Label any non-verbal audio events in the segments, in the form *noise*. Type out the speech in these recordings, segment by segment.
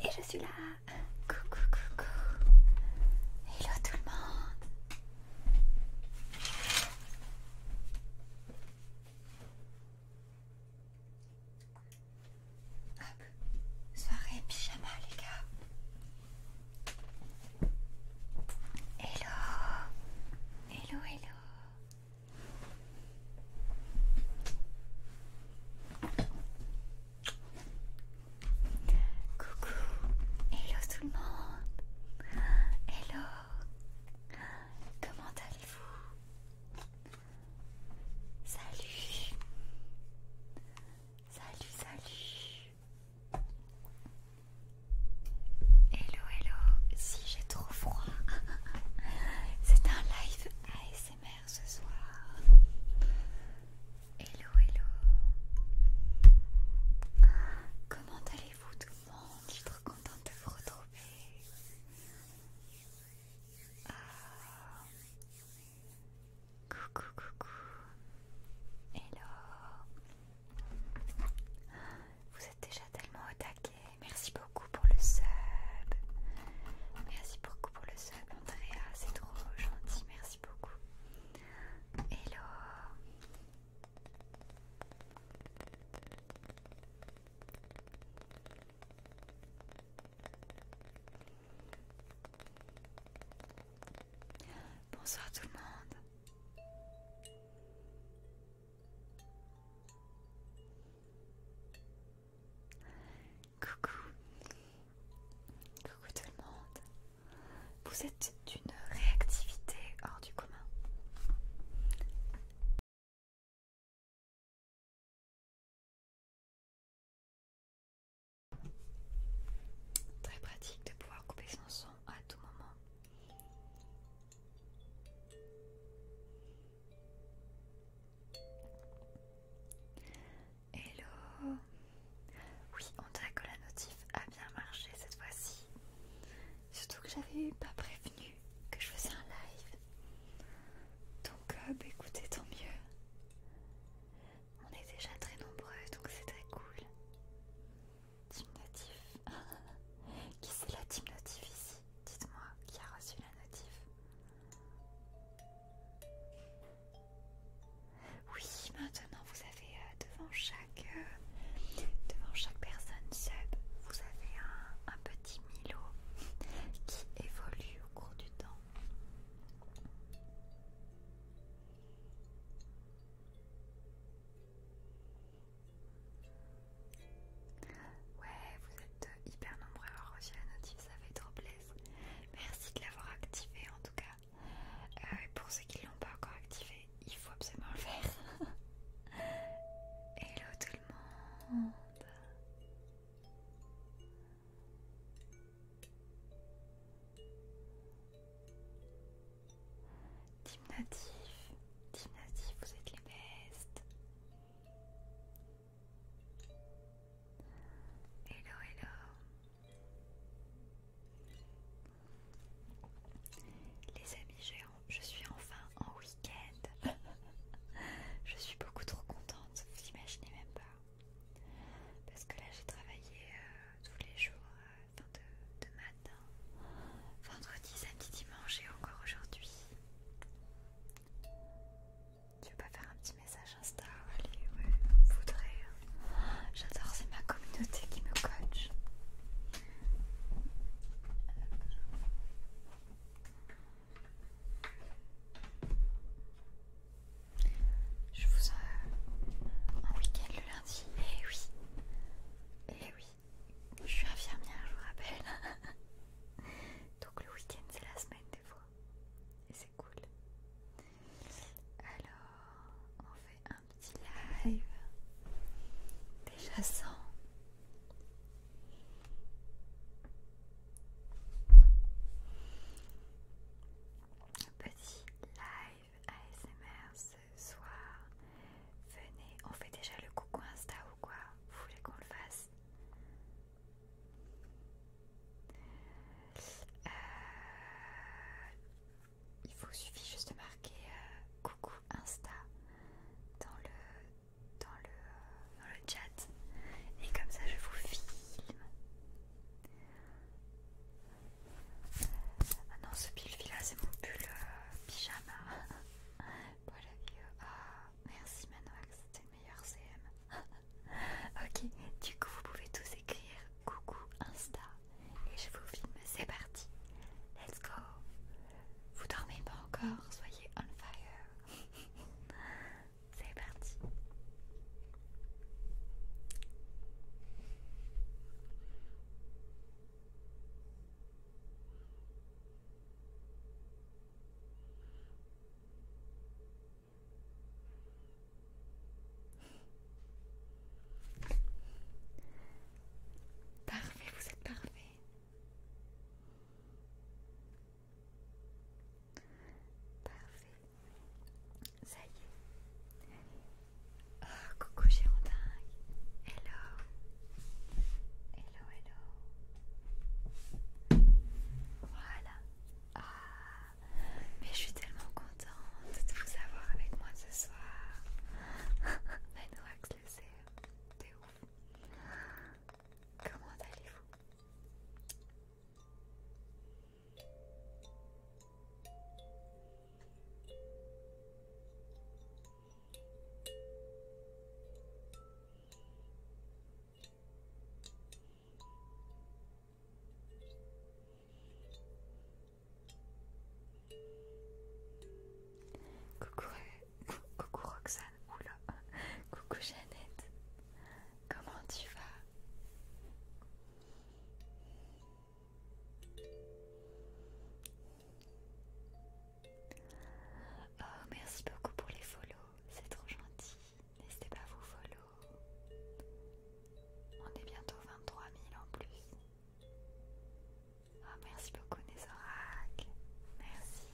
Et je suis là. Coucou, coucou. Hello tout le monde. Hop, soirée pyjama les gars. Hello. Hello, hello. Coucou, hello tout le monde. Hello, comment allez-vous? Salut, salut, salut. Hello, hello, si j'ai trop froid, *laughs* c'est un live ASMR ce soir. Hello, hello. Comment allez-vous tout le monde Je suis trop contente de vous retrouver. Ah. Coucou, coucou. Hello. Vous êtes déjà tellement au taquet. Merci beaucoup pour le sub. Merci beaucoup pour le sub, Andrea. C'est trop gentil. Merci beaucoup. Hello. Bonsoir tout le monde. Coucou. Coucou tout le monde. Vous êtes d'une réactivité hors du commun. Très pratique de pouvoir couper son son à tout moment. Hello Oui, on dirait que la notif a bien marché cette fois-ci. Surtout que j'avais pas prévenu que je faisais un live. Donc euh, bah, écoutez, tant mieux. On est déjà très nombreux, donc c'est très cool. Team Notif. *laughs* Qui c'est la Team Notif ici Dites-moi qui a reçu la notif. Oui, maintenant vous avez euh, devant chaque euh, devant chaque personne sub, vous avez un petit Milo qui évolue au cours du temps. Ouais, vous êtes hyper nombreux à avoir reçu la notif, ça fait trop plaisir. Merci de l'avoir activé en tout cas. Euh, pour ceux qui ne l'ont pas encore activé, il faut absolument le faire. *laughs* Hello tout le monde. Team Natif, Team Natif, vous êtes les bestes. Hello, hello. Les amis, je suis enfin en week-end. *laughs* je suis beaucoup trop contente, vous imaginez même pas. Parce que là, j'ai travaillé euh, tous les jours, euh, de matin, vendredi, samedi, dimanche et encore aujourd'hui. Tu veux pas faire un petit message Insta Allez, ouais, voudrais. Hein. J'adore, c'est ma communauté qui me coach. Je vous en, euh, Un week-end le lundi. Eh oui, eh oui, je suis infirmière, je vous rappelle. *laughs* Donc le week-end c'est la semaine des fois. Et c'est cool. Alors, on fait un petit live. Déjà sans Petit live ASMR ce soir. Venez, on fait déjà le coucou Insta ou quoi Vous voulez qu'on le fasse euh, il vous suffit juste de marquer euh, coucou Insta dans le, dans, le, dans le chat et comme ça je vous filme. Ah non, ce pull là c'est mon pull euh, pyjama *laughs* Voilà, ah, merci Manoax, c'était CM. *laughs* ok, du coup vous pouvez tous écrire coucou Insta et je vous filme, c'est parti. Let's go. Vous dormez pas encore, soyez on fire. *laughs* c'est parti. Parfait, vous êtes parfait. Parfait. Ça y est. Oh, coucou Gérondin. Hello. Hello, hello. Voilà. Ah. mais je suis tellement contente de vous avoir avec moi ce soir. Benoît, *laughs* le e T'es Comment allez-vous Coucou, euh, coucou Roxane, oula, coucou Jeannette, comment tu vas? Oh, merci beaucoup pour les follows c'est trop gentil. N'hésitez pas à vous follow. On est bientôt 23 000 en plus. Oh, merci beaucoup, Nézorac. Merci.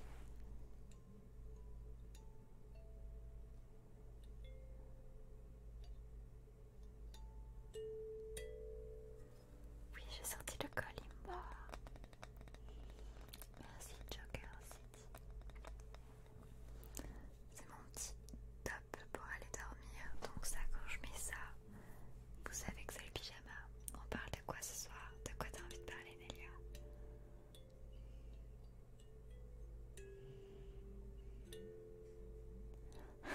Oui, j'ai sorti le Colimbo. Merci Joker c'est mon petit top pour aller dormir. Donc ça, quand je mets ça, vous savez que c'est le pyjama. On parle de quoi ce soir De quoi t'as envie de parler, Nelia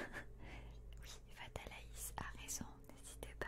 *laughs* Oui, Fatalaïs a raison, n'hésitez pas.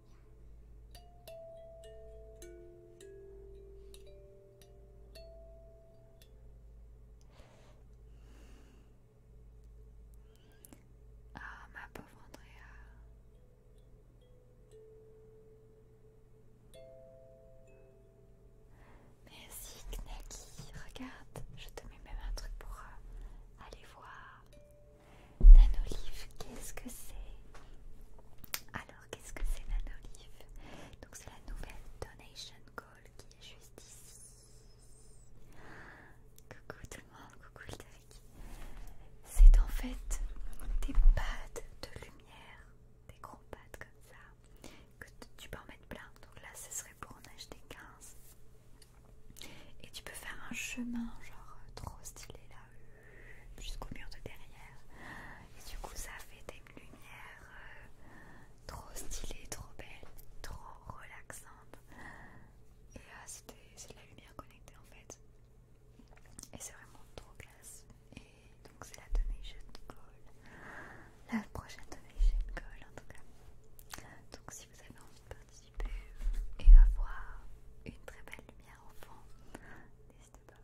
Ah, ma pauvre Andrea. Merci Naki, regarde, je te mets même un truc pour euh, aller voir Nanolive, qu'est-ce que c'est Alors, qu'est-ce que c'est Nanolive Donc, c'est la nouvelle donation call qui est juste ici. Coucou tout le monde, coucou le C'est en fait des pads de lumière, des gros pads comme ça, que tu peux en mettre plein. Donc là, ce serait pour en acheter 15. Et tu peux faire un chemin genre euh, trop stylé là jusqu'au mur de derrière. Et du coup ça fait des lumières euh, trop stylées, trop belles, trop relaxantes. Et là euh, c'est la lumière connectée en fait. Et c'est vraiment trop classe. Et donc c'est la donation call. La prochaine donation call en tout cas. Donc si vous avez envie de participer euh, et avoir une très belle lumière au fond, n'hésitez pas.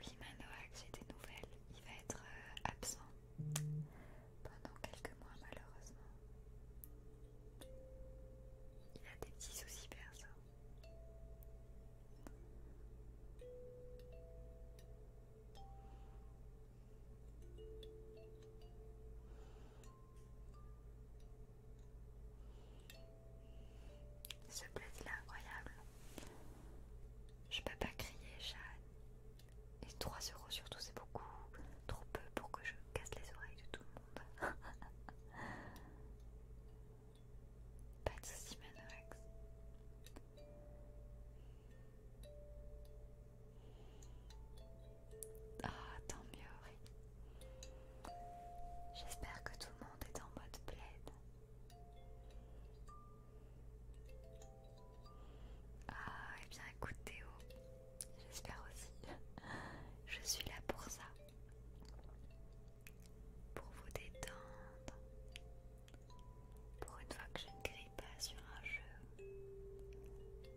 Oui, Manoac, j'ai des nouvelles. Il va être euh, absent pendant quelques mois, malheureusement. Il a des petits soucis perso. Ce bleu il est incroyable. Je peux pas crier, Jeanne. Et 3 euros surtout, c'est beaucoup. Trop peu pour que je casse les oreilles de tout le monde. *laughs* pas de soucis, Manox. Ah, tant mieux, J'espère que tout le monde est en mode plaide. Ah, et eh bien écoute Théo, j'espère aussi. *laughs* Je suis là pour ça. Pour vous détendre. Pour une fois que je ne crie pas sur un jeu,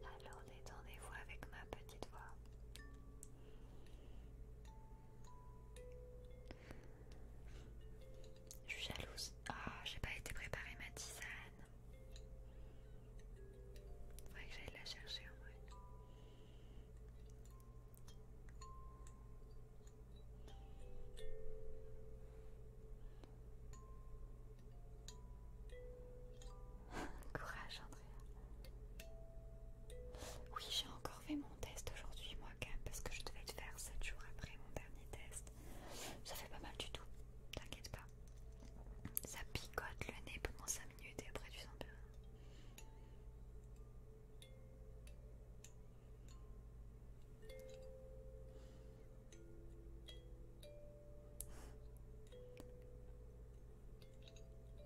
alors détendez-vous avec ma petite voix. Je suis jalouse. Oh, j'ai pas été préparer ma tisane. Faudrait que j'aille la chercher en vrai. *laughs* Courage, Andrea. Oui, j'ai encore fait mon test aujourd'hui, moi, même parce que je devais le faire 7 jours après mon dernier test. Ça fait pas mal du tout, t'inquiète pas. Ça picote le nez pendant 5 minutes et après tu sens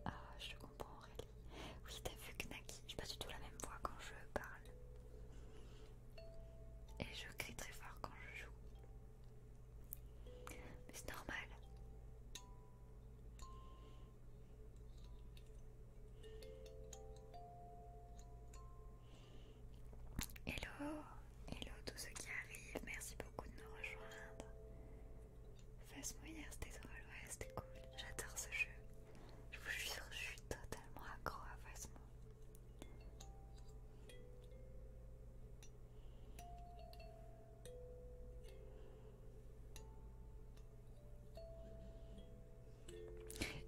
ah, je comprends Aurélie. Oui, t'as vu que je j'ai pas du tout la même voix quand je parle. Et je crie très fort quand je joue. Mais c'est normal. Hello, hello tous ceux qui arrivent, merci beaucoup de nous rejoindre. Fassmo moi hier, c'était drôle, ouais, c'était cool, j'adore ce jeu. Je vous jure, je suis totalement accro à Fasmo.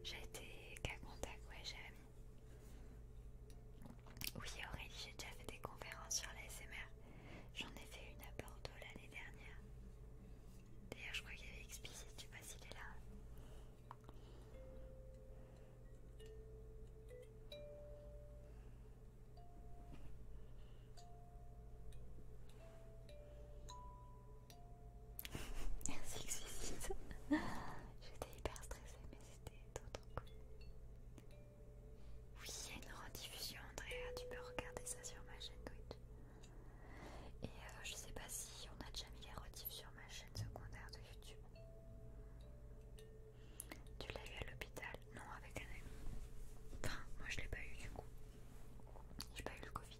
J'ai été qu'à contact, ouais, ami. Oui Aurélie, j'ai déjà fait des conférences sur l'ASMR. J'en ai fait une à Bordeaux l'année dernière. D'ailleurs je crois qu'il y avait Explicit, je sais pas s'il est là. Merci explicite. J'étais hyper stressée mais c'était trop trop cool. Oui, il y a une rediffusion Andrea, tu peux regarder ça sur ma chaîne Twitch. Et euh, je sais pas si on a déjà mis les rediffs sur ma chaîne secondaire de YouTube. Tu l'as eu à l'hôpital Non, avec un ami. Enfin, moi je l'ai pas eu du coup. J'ai pas eu le Covid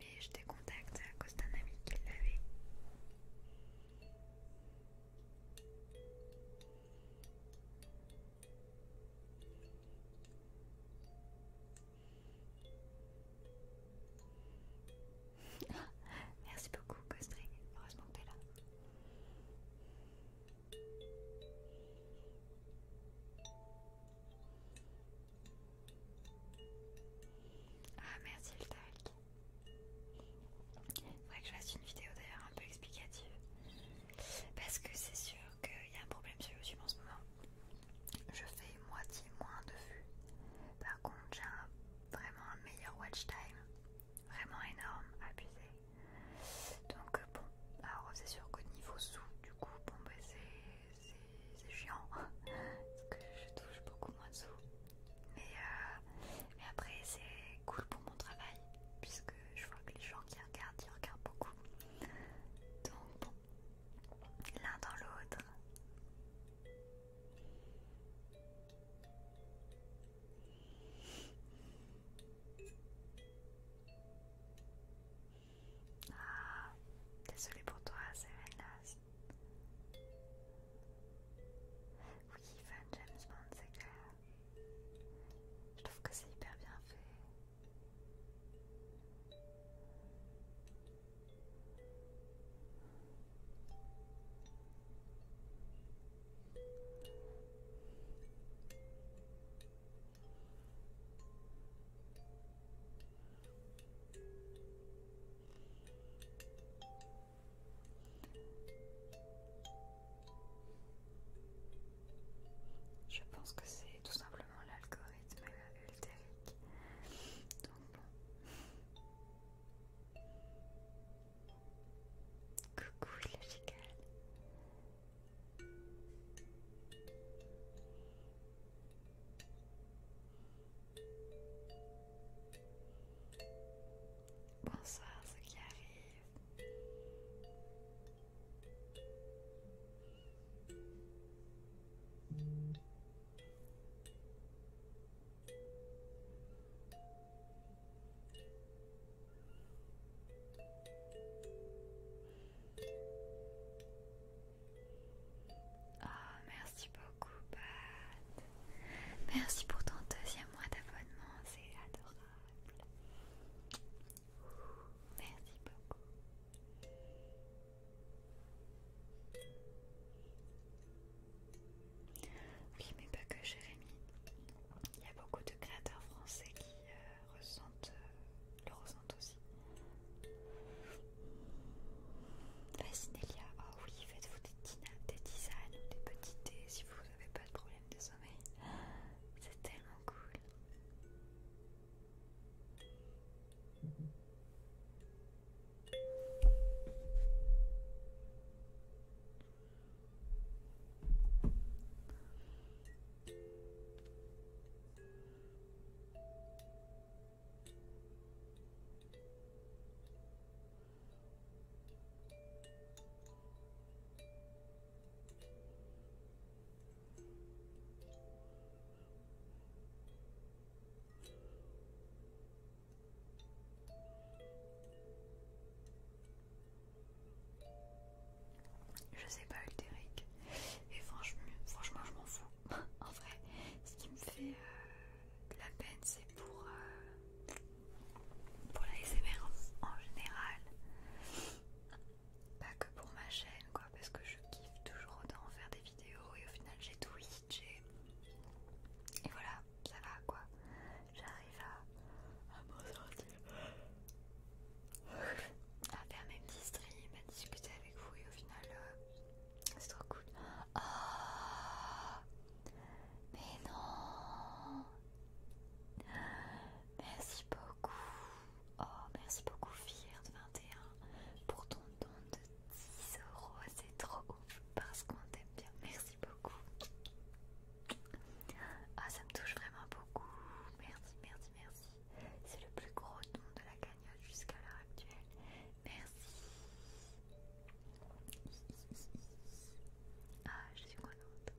et je t'ai contacté à cause d'un ami qui l'avait. *laughs* Merci beaucoup, Costring. Heureusement que tu es là. Ah merci le Il Faudrait que je fasse une vidéo d'ailleurs un peu explicative. Parce que c'est sûr qu'il y a un problème sur YouTube en ce moment. Je fais moitié moins de vues. Par contre j'ai vraiment un meilleur watch time. Vraiment énorme, abusé. Donc euh, bon, alors c'est sûr qu'au niveau sous, du coup, bon bah c'est c'est chiant parce que je touche beaucoup moins de euh, Mais, après, c'est cool pour mon travail puisque je vois que les gens qui regardent, ils regardent beaucoup. Donc, l'un dans l'autre. Ah, désolé pour toi, Serenas. Oui, fan James Bond, c'est clair. Je trouve que c'est hyper bien fait. Je pense que c'est tout simplement l'algorithme ultérique. Donc bon. Coucou Bonsoir ce qui arrive. Oh, merci beaucoup, Pat. Merci pour ton deuxième mois d'abonnement, c'est adorable. Merci beaucoup. Oui, mais pas que Jérémy. Il y a beaucoup de créateurs français qui euh, ressentent, euh, le ressentent aussi. Vas-y Nelia, oh oui, faites-vous des, des tisanes des petits dés si vous n'avez pas de problème de sommeil. C'est tellement cool. Je sais pas Ulteric et franchement, franchement je m'en fous *laughs* en vrai ce qui me fait euh, la peine c'est pour euh, la SMR en, général pas que pour ma chaîne quoi parce que je kiffe toujours autant faire des vidéos et au final j'ai Twitch et, voilà ça va quoi j'arrive à, à faire mes petits streams à discuter avec vous et au final euh, c'est trop cool. Oh Mais non Merci beaucoup. Oh, merci beaucoup de 21 pour ton don de 10 euros. C'est trop cool parce qu'on t'aime bien. Merci beaucoup. Ah, ça me touche vraiment beaucoup. Merci, merci, merci. C'est le plus gros don de la jusqu'à l'heure actuelle. Merci. Ah, je suis contente.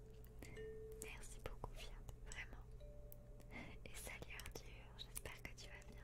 Merci beaucoup, Fiat, vraiment. Et salut Arthur, j'espère que tu vas bien.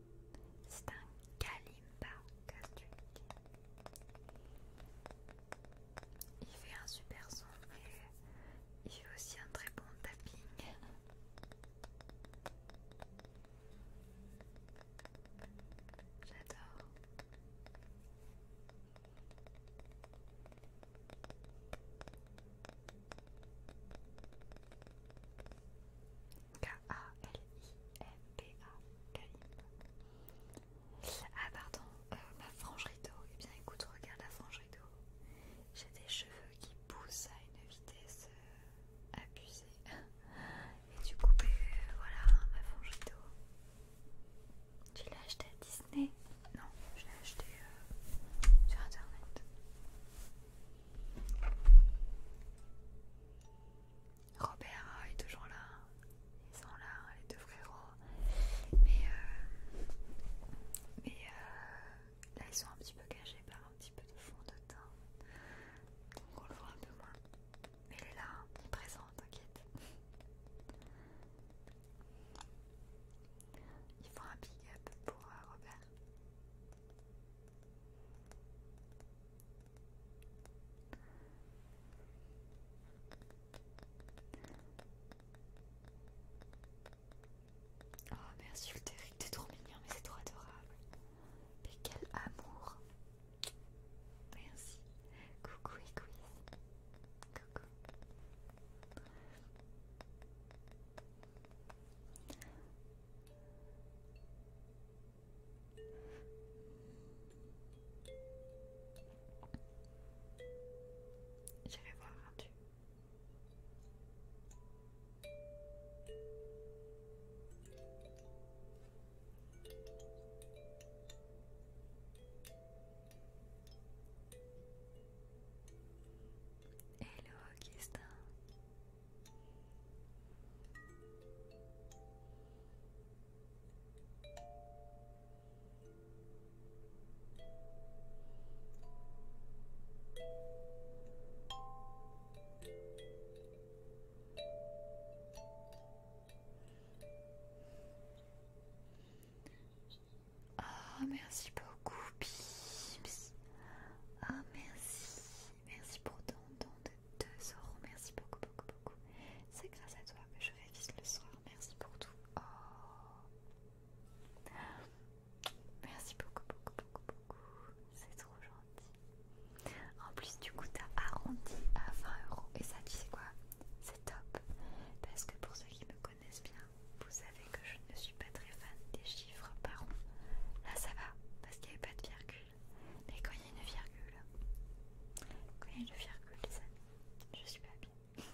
C'est un kalimba catholique. Il fait un super son et il fait aussi un très bon tapping. J'adore a l i m p a Ah pardon, euh, ma frange rideau. Eh bien écoute, regarde la frange rideau. J'ai des cheveux qui poussent à une vitesse euh, abusée. *laughs* Et du coup, ben, euh, voilà, ma frange rideau. Tu l'as acheté à Disney Non, je l'ai acheté sur internet. Robert euh, est toujours là, ils sont là, les deux frérots. Mais, euh, euh, là, ils sont un petit peu gagés par un petit peu de fond de teint. Donc on le voit un peu moins. Mais il est là, hein, présent, t'inquiète. Il faut un big up pour Robert. Oh merci Ulteric, t'es trop mignon, mais c'est trop adorable. Mais quel amour. Merci. Coucou et Coucou vais voir un Et Hello Augustin, ah merci beaucoup, Ah ah merci. Merci pour ton temps de 2 euros. Merci beaucoup, beaucoup, beaucoup. C'est grâce à toi que je révise le soir. Merci pour tout. Oh. Merci beaucoup, beaucoup, beaucoup, beaucoup. C'est trop gentil. En plus, du coup, t'as arrondi à 20 euros. Et ça, tu sais quoi C'est top. Parce que pour ceux qui me connaissent bien, vous savez que je ne suis pas très fan des chiffres par an. Là, ça va. Parce qu'il n'y avait pas de virgule. Et quand il y a une virgule, quand il y a une virgule, les amis, je suis pas bien.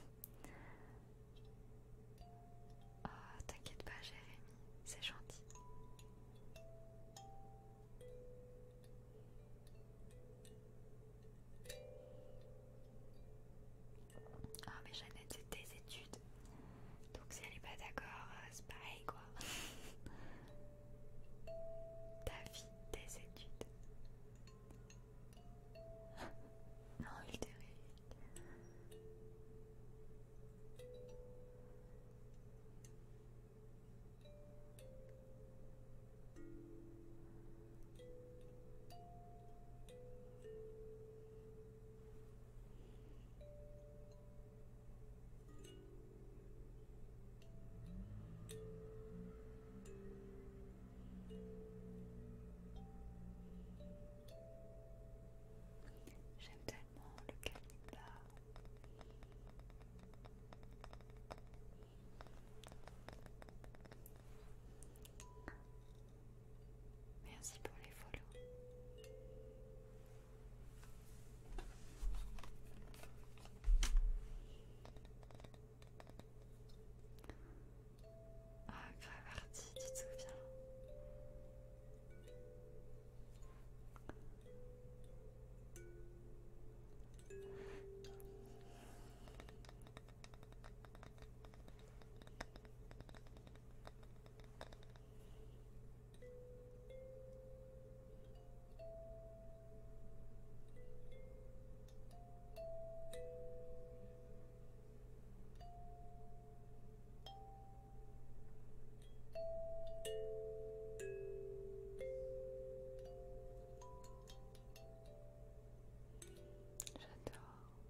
Oh, t'inquiète pas, Jérémy, c'est gentil. oh, mais Jeannette c'est tes études Donc si elle est pas d'accord euh, c'est pareil quoi *laughs* Ta vie, tes études. *laughs* non, il J'aime tellement le calibre-là. Merci pour les follows. Ah, Gravardi, tu te souviens J'adore,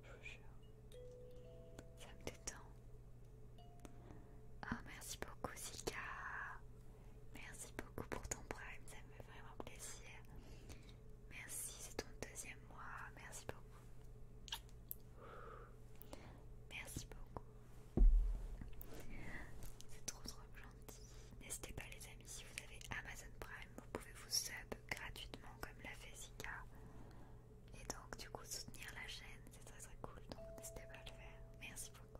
je vous jure. Ça me détend. Oh, merci beaucoup, Zika, Merci beaucoup pour ton prime, ça me fait vraiment plaisir. Merci, c'est ton deuxième mois. Merci beaucoup. Merci beaucoup. C'est trop trop gentil. N'hésitez pas les amis, si vous avez Amazon Prime, vous pouvez vous sub gratuitement comme l'a fait Zika. Et donc du coup soutenir la chaîne, c'est très très cool. Donc n'hésitez pas à le faire. Merci beaucoup.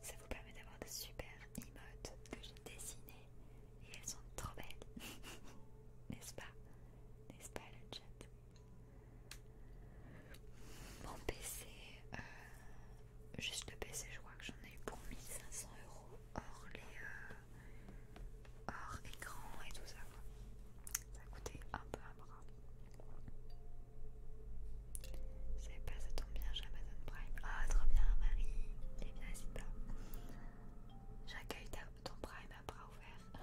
Ça vous permet d'avoir de super emotes que j'ai dessinées et elles sont trop belles. *laughs* N'est-ce pas N'est-ce pas le chat Mon PC, euh, juste le PC, je crois que j'en ai eu pour 1500 euros hors les... Euh, hors écran et tout ça. Ça coûtait un peu un bras. C'est pas ça tombe bien, j'ai Amazon Prime. Ah, trop bien, Marie. Eh bien, c'est pas. J'accueille ton Prime à bras ouverts.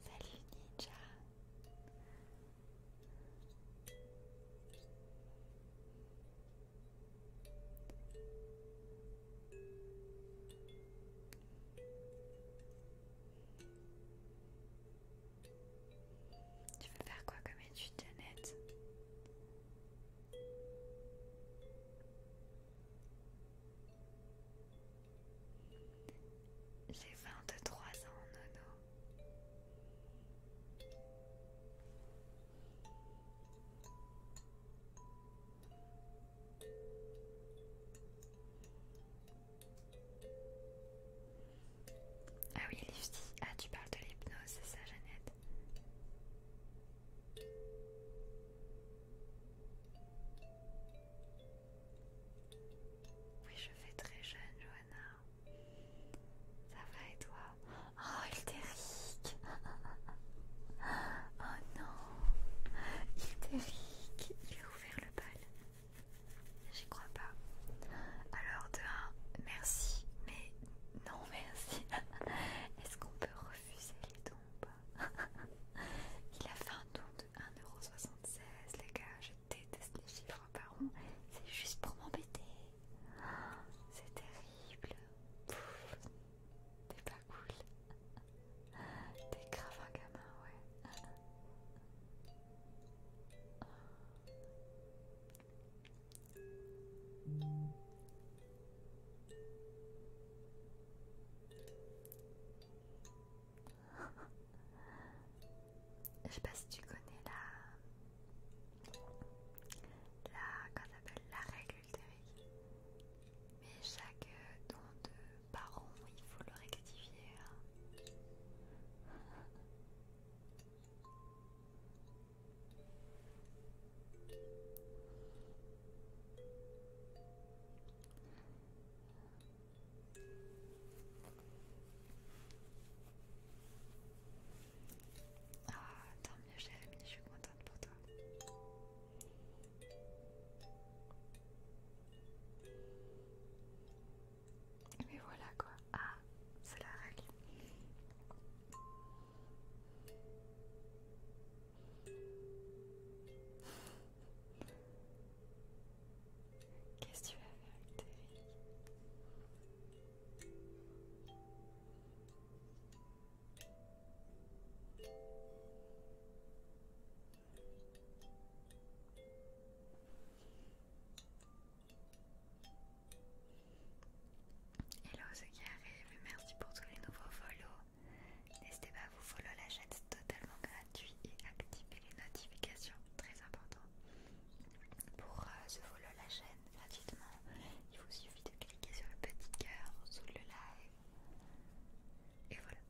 *laughs* Salut Ninja. Tu veux faire quoi comme étude, Janet J'ai 23 ans, Nono. Ah oui, Lifty. Ah, tu parles de l'hypnose, c'est ça, Jeannette Oui, je fais très jeune, Johanna. Ça va et toi Oh, il Hildéric *laughs* Oh non Hildéric, il a ouvert le bal. J'y crois pas. Alors, de un, merci, mais non merci. *laughs* Est-ce qu'on peut refuser les dons *laughs* Il a fait un don de 1,76€, les gars, je déteste les chiffres par c'est juste pour m'embêter. C'est terrible. T'es pas cool. T'es grave un gamin, ouais. Je sais pas si tu connais la la, appelle la règle Mais chaque euh, don de baron, il faut le rectifier. Hein. Ah, tant mieux, Jérémy, je suis contente pour toi. Mais voilà quoi. Ah, c'est la règle. Qu'est-ce que tu vas faire avec tes Hello ceux qui arrivent, merci pour tous les nouveaux follow. N'hésitez pas à vous follow la chaîne, c'est totalement gratuit et activez les notifications, très important. Pour euh, ce follow la chaîne, gratuitement. Il vous suffit de cliquer sur le petit cœur sous le live. Et voilà.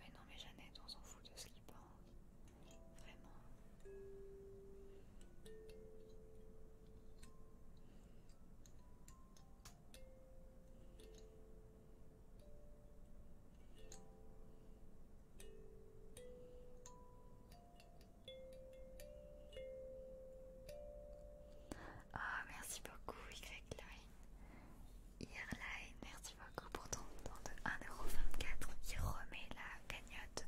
Mais non mais Jeannette, on s'en fout de ce qui pense. Vraiment. Oh, merci beaucoup, Y-Line. Irline, merci beaucoup pour ton don de 1,24€ qui remet la cagnotte.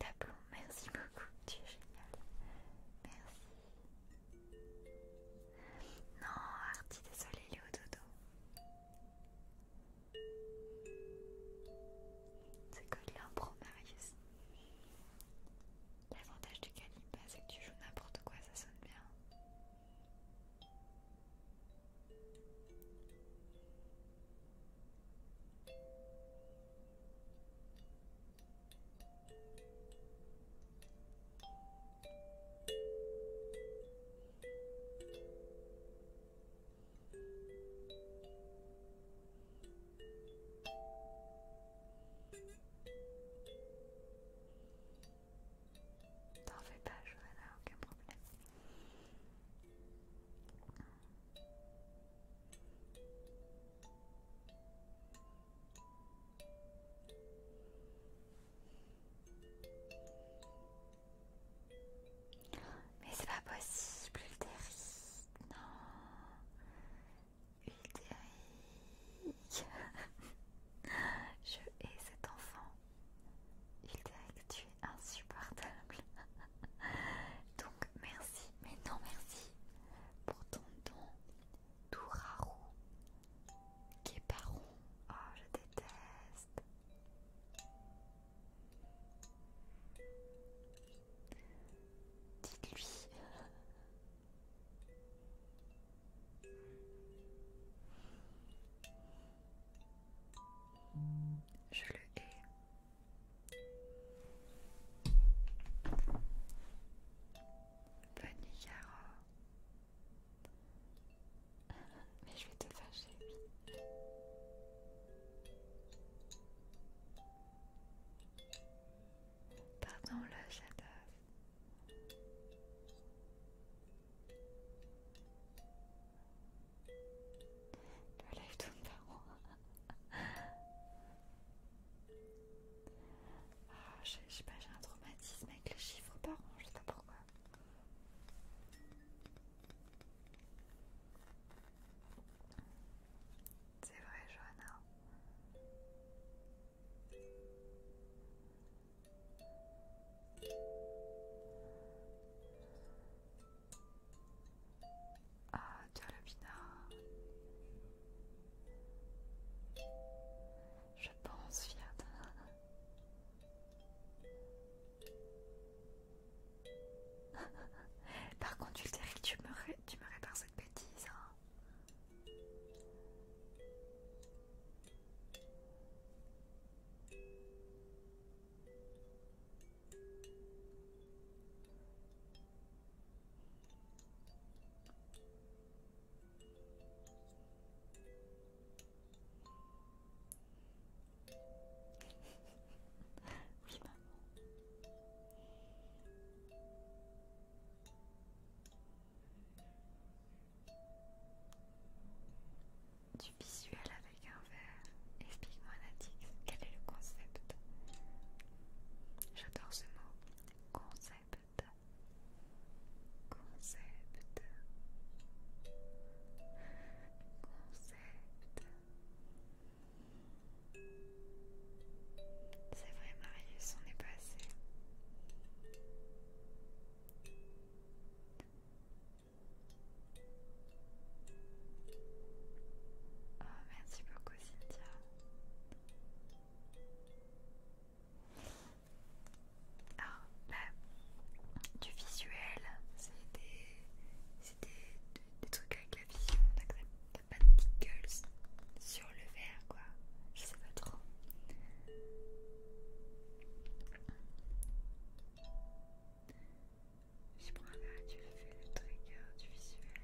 d'ablon, merci beaucoup, tu es génial. Merci. Non, Artie, désolé, il au dodo. C'est que de l'impro, Marius. L'avantage du calimba, c'est que tu joues n'importe quoi, ça sonne bien. T'en fais pas, là, aucun problème. Mais c'est pas possible, Ulteric. Non. Ulteric. Je hais cet enfant. Ulteric, tu es insupportable. Donc merci, mais non merci pour ton don. Touraru, Képaron, oh ah, je déteste. Dites-lui. Je le hais. Bonne nuit, Caro. Mais je vais te fâcher, oui. Pardon le j'adore. Le live tourne par moi. Ah, je sais pas, j'ai un traumatisme avec les chiffres par an, je sais pas c'est vrai Johanna. Ah, tu as pina. Je pense, Fiat. *laughs* Par contre, Ulteric, tu me, répars tu me répares cette bêtise. Hein. Bah. Du visuel avec un verre. Explique-moi, Natix, quel est le concept J'adore ce mot. Concept concept concept c'est vrai Marius on est passé Oh merci beaucoup Cynthia alors, ah, bah, du visuel, c'est des, trucs avec la vision, t'as pas de pickles sur le verre quoi, je sais pas trop. Je prends un verre, tu fais le trigger du visuel.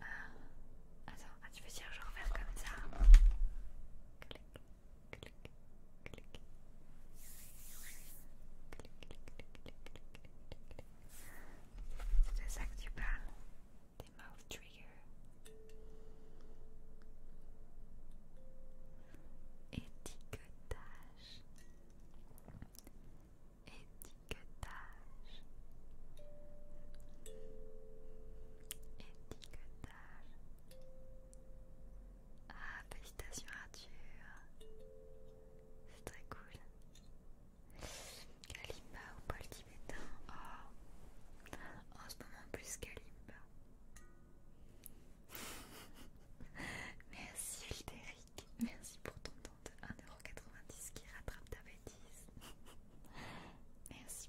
Ah, attends, ah, tu veux dire genre faire comme ça clic, C'est ça que tu parles Des mouth triggers Étiquetage ah, félicitations Arthur. C'est très cool. Kalimba ou Paul tibétain oh. En ce moment plus Kalimba. *laughs* Merci Hildéric. Merci pour ton temps de 1,90€ qui rattrape ta bêtise. *laughs* Merci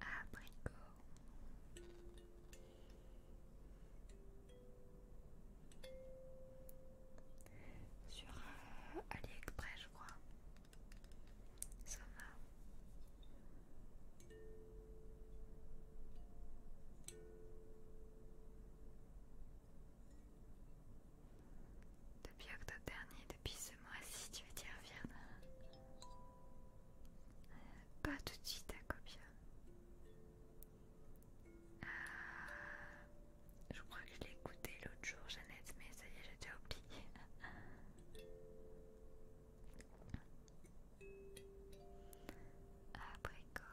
Abricot. Sur euh, AliExpress, je crois. Ça va. Depuis octobre dernier, depuis ce mois-ci, tu veux dire Virna euh, Pas tout de suite à Copia. Euh, je crois que je l'ai écouté l'autre jour, Jeannette, mais ça y est, j'ai déjà oublié. *laughs* Après quoi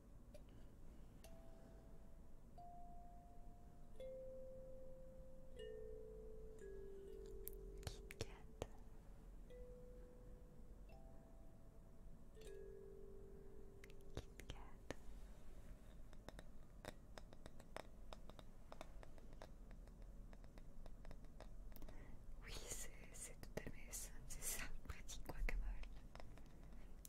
Kit Kat. oui, c'est tout à fait ça, c'est ça, pratique quoi mal.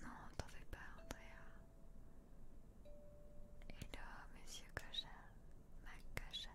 Non, t'en fais pas, Andrea. Hello, monsieur Kocha, ma Kocha.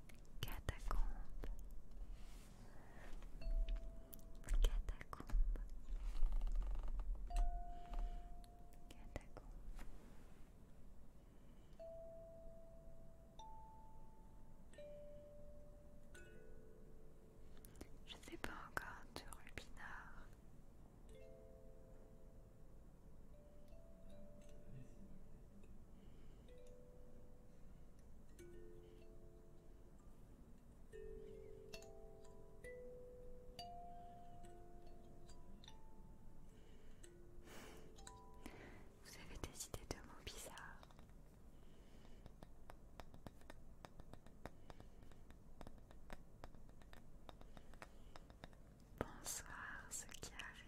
Catacombe. Catacombe. Catacombe. Je sais pas encore de Rubinard. Vous avez des idées de mots bizarres Bonsoir, ce qui arrive.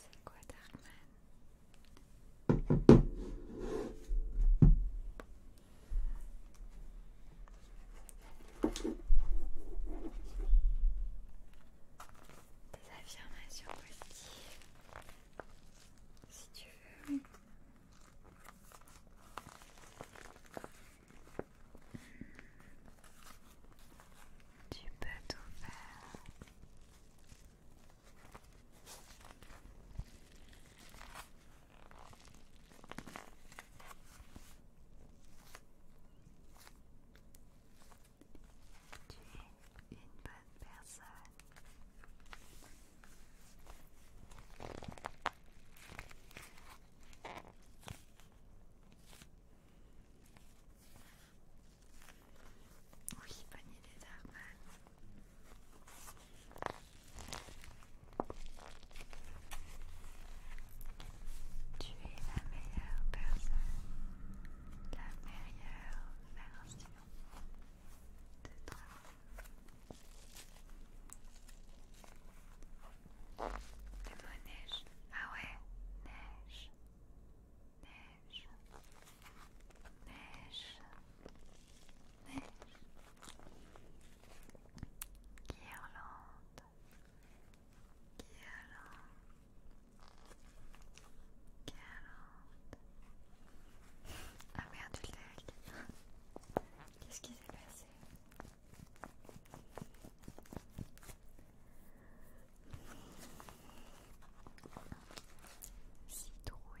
C'est quoi Darkman Des affirmations positives si tu veux. Tu peux tout faire. Tu es une bonne personne. Oui, bonne idée d'Arman. Tu es la meilleure personne la meilleure version de toi. de mot neige. Ah ouais, neige. Neige. Neige. Neige. Guirlande. Guirlande. Ah, Qu'est-ce qui s'est passé Citrouille.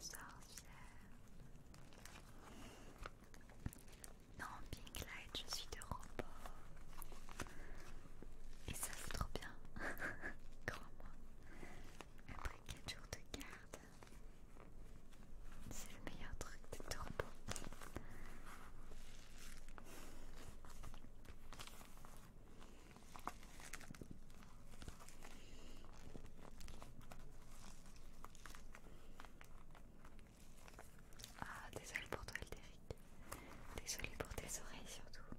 Sorcière. Non, Pink Light, je suis de repos. Et ça, c'est trop bien. *laughs* Crois-moi. Après 4 jours de garde, c'est le meilleur truc de repos. Ah, désolé pour toi, Derek. Désolé pour tes oreilles surtout.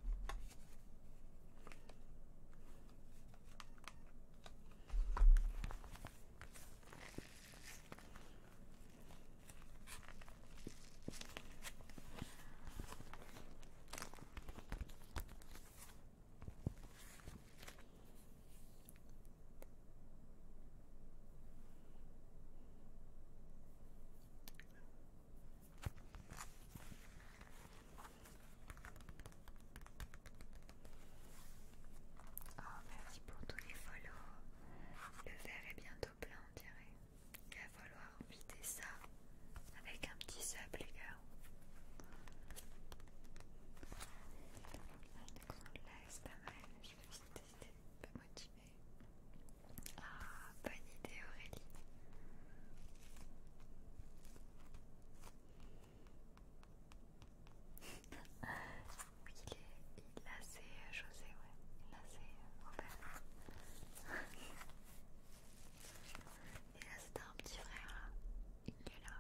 Oh, merci pour tous les follows, Le verre est bientôt plein on dirait. Il va falloir vider ça avec un petit sub les gars. Là c'est pas mal, je vais juste tester, peu motivé. Ah bonne idée Aurélie. oui, *laughs* il est, il, a c'est José, euh, ouais. a c'est euh, Robert. *laughs* Et là c'était un petit frère, il est là.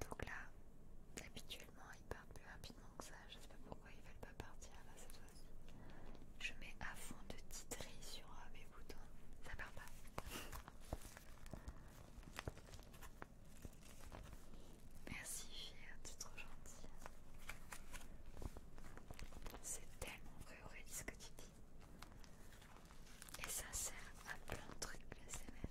Donc là, habituellement ils partent plus rapidement que ça, je ne sais pas pourquoi ils veulent pas partir là cette fois-ci. Je mets à fond de titrer sur mes boutons, hein, ça part pas. Merci Tu es trop gentil C'est tellement vrai Aurélie ce que tu dis. Et ça sert à plein de trucs le CMR.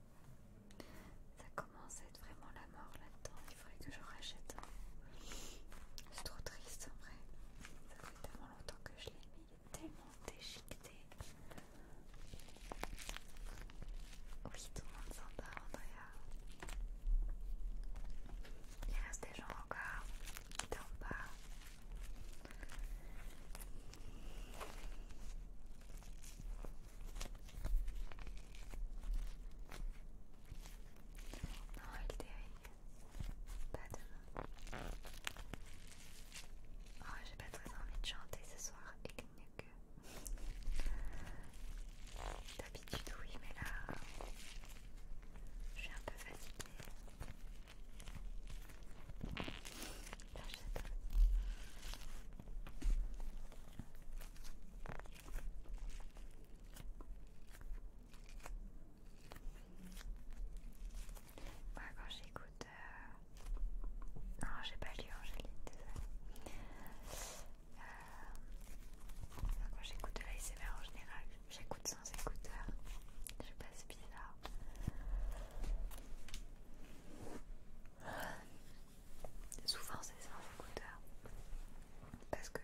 Ça commence à être vraiment la mort là-dedans. Il faudrait que je rachète. C'est trop triste en vrai. Ça fait tellement longtemps que je l'ai mis. Il est tellement déchiqueté. Oui, tout le monde s'en va, Andrea. Il reste des gens encore qui dorment pas. Non, il dérive. Pas demain. Oh, j'ai pas très envie de chanter ce soir et D'habitude, oui, mais là. Je suis un peu fatiguée. Moi bah, quand j'écoute... Euh, non, j'ai pas lu Angélique, désolée. Euh, quand j'écoute de l'ASMR en général, j'écoute sans écouteur. Je passe bizarre. Souvent c'est sans écouteurs parce que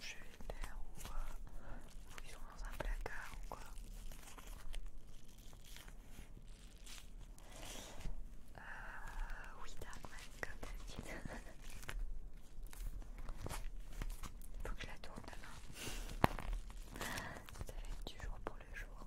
je, les perds ou, ils sont dans un placard ou quoi. Euh, oui, Darkman, comme Il *laughs* faut que je la tourne demain. Ça va être du jour pour le jour.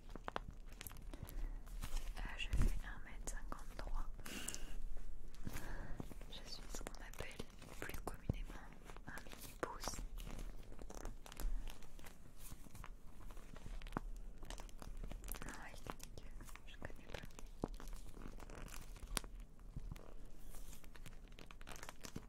Euh, je fais 1m53. Je suis ce qu'on appelle plus communément un mini pouce. Non, ah que je connais pas.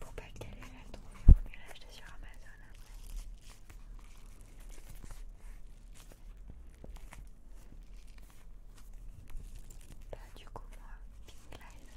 pour pas qu'elle la trouver, pour l'acheter sur Amazon hein. Bah, du coup, moi, Pink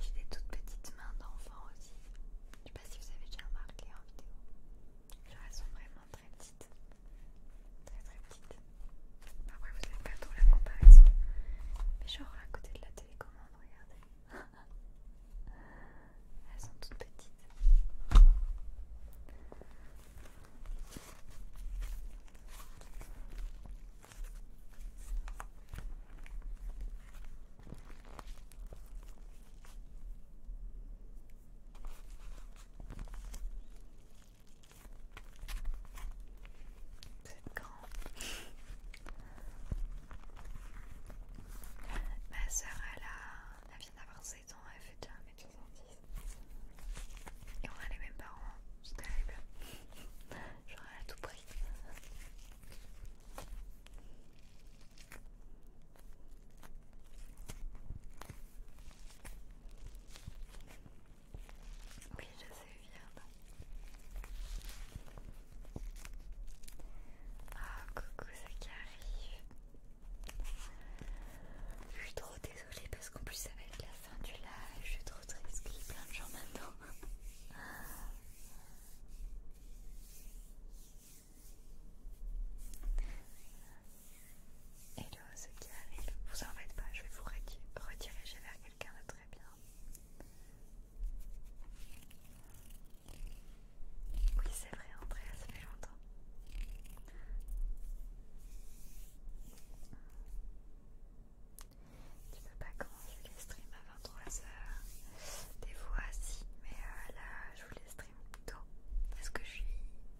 j'ai des toutes petites mains d'enfant aussi. Je sais pas si vous avez déjà remarqué en vidéo. Elles sont vraiment très petites. Très très petite. Après, vous avez pas trop la comparaison. Mais genre à côté de la télécommande, regardez. *laughs* Elles sont toutes petites. Vous êtes grand. Ma sœur, elle, vient d'avoir 7 ans, elle fait déjà 1m70. Et on a les mêmes parents, c'est terrible. Genre, à tout prix. Oui, je sais, viens. Ah, oh, coucou, ça qui arrive. Je suis trop désolée parce qu'en plus, ça va être la fin du live. Je suis trop triste qu'il y plein de gens maintenant. *laughs* ce qui arrive. Vous en faites pas, je vais vous rediriger vers quelqu'un de très bien. Oui, c'est vrai, André, ça fait longtemps. Tu peux pas commencer les streams à 23h. Des fois, si, mais euh, là, je vous les stream tôt. Parce que je suis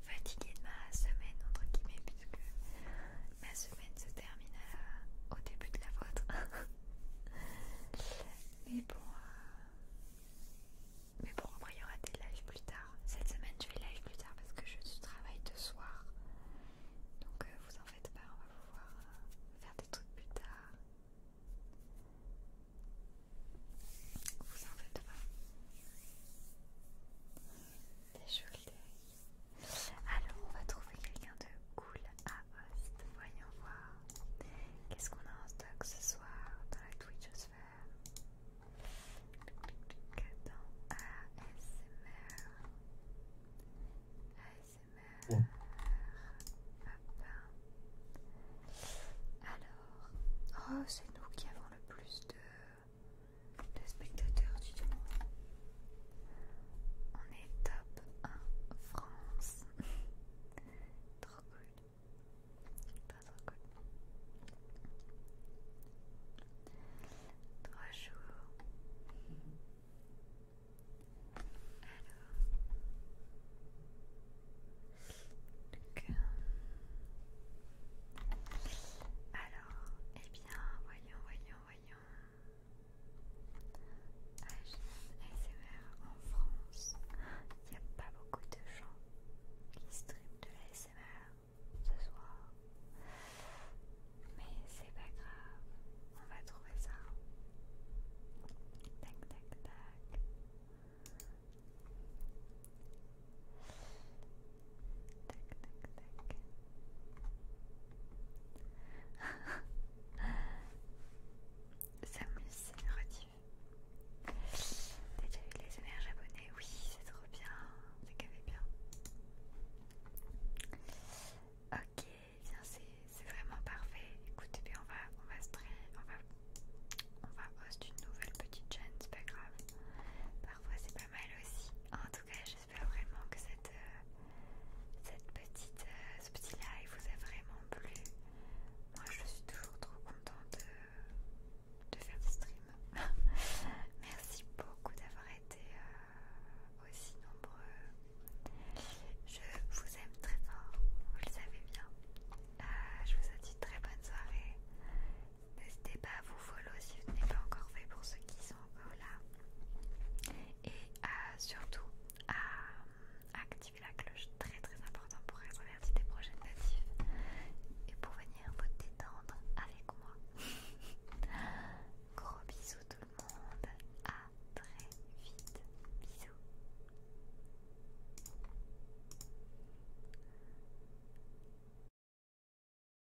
fatiguée de ma semaine, entre guillemets, puisque ma semaine se termine au début de la vôtre. *laughs* mais bon, euh, mais bon, après il y aura des lives plus tard. Cette semaine, je vais live plus tard parce que je travaille de soir. Donc euh, vous en faites pas, on va pouvoir euh, faire des trucs plus tard. Vous en faites pas. Déjolé. Alors, on va trouver quelqu'un de cool à host. Voyons voir. Qu'est-ce qu'on a en stock ce soir dans la Twitchosphère Dans oh. ASMR. ASMR. Alors, oh, c'est nous qui avons le plus de le spectateur du tournoi. On est top 1 France. *laughs* trop cool. Pas trop cool. Trois jours. Alors. alors, eh et bien, voyons, voyons voyons. ASMR en France. Il n'y a pas beaucoup de gens qui stream de la ce soir. Mais c'est pas grave. On va trouver ça. Tac tac tac. Tac, tac, tac. Samus Rediff. T'as déjà eu les énergies abonnées Oui, c'est trop bien. bien. Ok, c'est vraiment parfait. Écoute, on va, on va se on va, on va host une nouvelle petite chaîne, c'est pas grave. Parfois c'est pas mal aussi. En tout cas, j'espère vraiment que cette, euh, petite, euh, ce petit live vous a vraiment plu. Moi, je suis toujours trop contente de, faire des stream. *laughs* Merci beaucoup d'avoir été euh, aussi nombreux. Je vous aime très fort, vous le savez bien. je vous souhaite une très bonne soirée N'hésitez pas à vous follow si vous n'êtes pas encore fait pour ceux qui sont encore euh, là. Et surtout à activer la cloche, très très important pour être averti des prochaines natives et pour venir vous détendre avec moi. *laughs* Gros bisous tout le monde, à très vite, bisous.